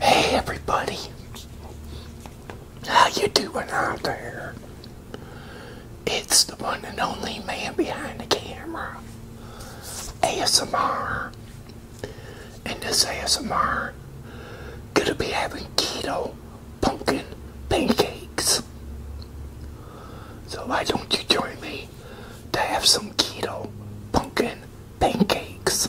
Hey everybody, how you doing out there? It's the one and only man behind the camera, ASMR. And this ASMR, gonna be having keto pumpkin pancakes. So why don't you join me to have some keto pumpkin pancakes.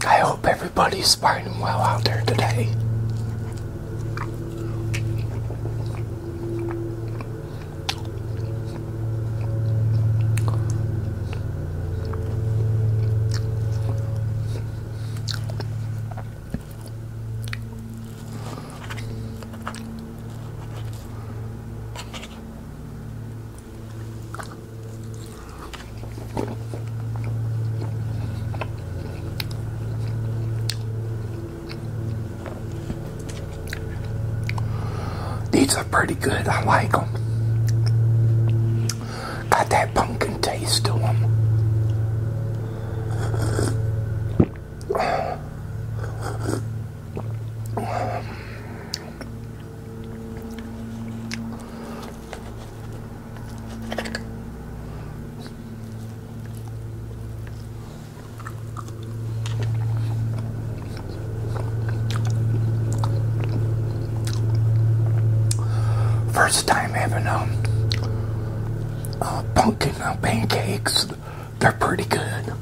I hope everybody's finding well out there today. These are pretty good. I like them. Got that pumpkin taste to them. First time ever, um uh, pumpkin pancakes. They're pretty good.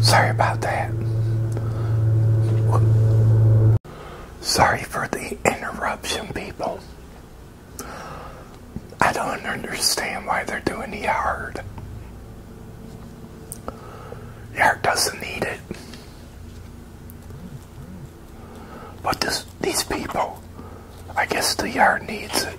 Sorry about that. Sorry for the interruption, people. I don't understand why they're doing the yard. Yard doesn't need it. But these people, I guess the yard needs it.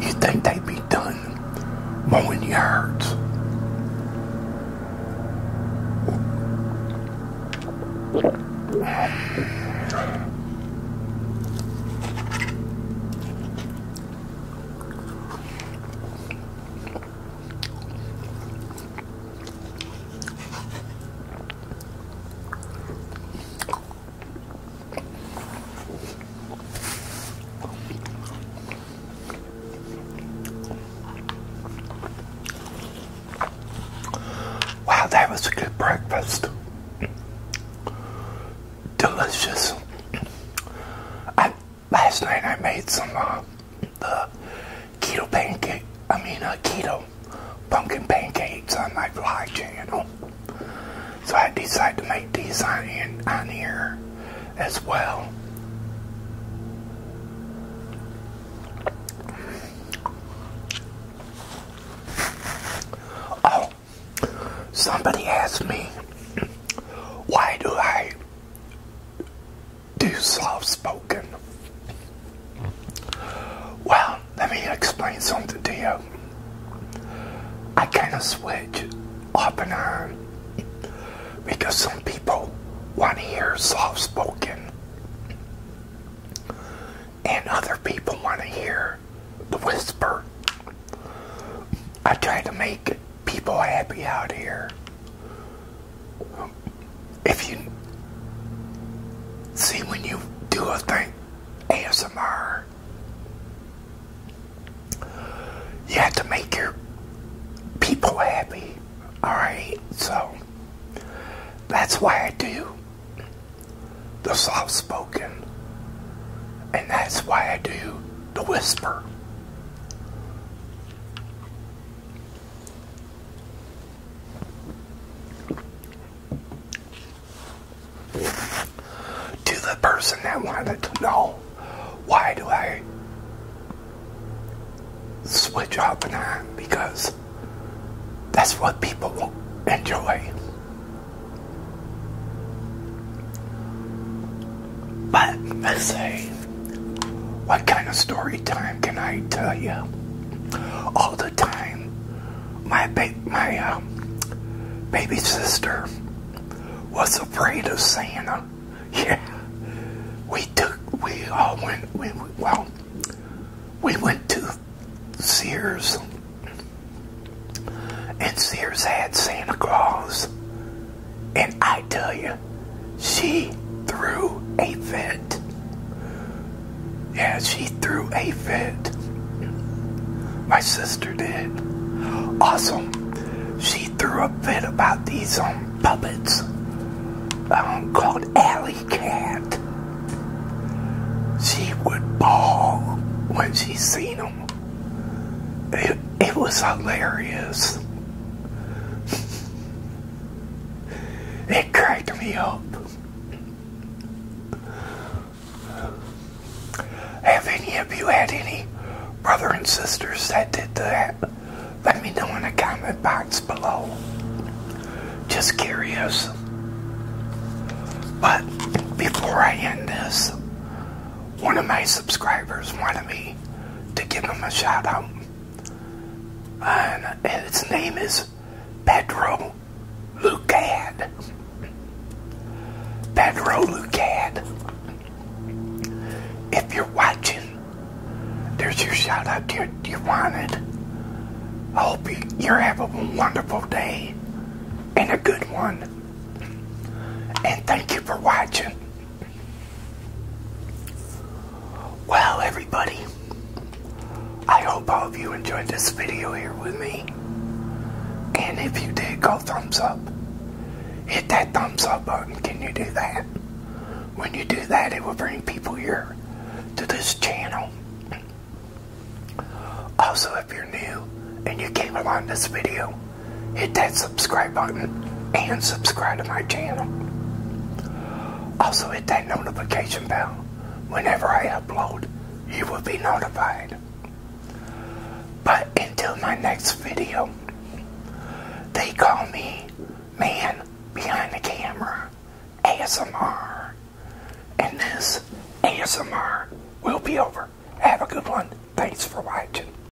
you think they'd be done mowing yards. Wow, that was a good breakfast. Delicious. I, last night I made some uh, the keto pancake. I mean, uh, keto pumpkin pancakes on my vlog channel. So I decided to make these on, on here as well. Oh, somebody asked me, why do I do soft spoken? Well, let me explain something to you. I kind of switch up and on because some people want to hear soft spoken, and other people want to hear the whisper. I try to make people happy out here if you see when you do a thing, ASMR, you have to make your people happy. Alright, so that's why I do the soft spoken, and that's why I do the whisper. To the person that wanted to know why do I switch up and on because that's what people enjoy. But let say, what kind of story time can I tell you? all the time. My uh, baby sister was afraid of Santa. Yeah, we took we all went well we went to Sears and Sears had Santa Claus, and I tell you, she threw a fit. Yeah, she threw a fit. My sister did. Awesome. She threw a fit about these um, puppets um, called Alley Cat. She would bawl when she seen them. it was hilarious. It cracked me up. Have any of you had any brother and sisters that did that? Let me know in the comment box below. Just curious. But before I end this, one of my subscribers wanted me to give him a shout out and its name is Pedro Lucad. Pedro Lucad. If you're watching, there's your shout out to you, you wanted. I hope you, you're having a wonderful day and a good one. And thank you for watching. Well, everybody, I hope all of you enjoyed this video here with me. And if you did, go thumbs up. Hit that thumbs up button. Can you do that? When you do that, it will bring people here to this channel. Also, if you're new and you came along this video, hit that subscribe button and subscribe to my channel. Also hit that notification bell. Whenever I upload, you will be notified. But until my next video, they call me Man Behind the Camera ASMR. And this ASMR will be over. Have a good one. Thanks for watching.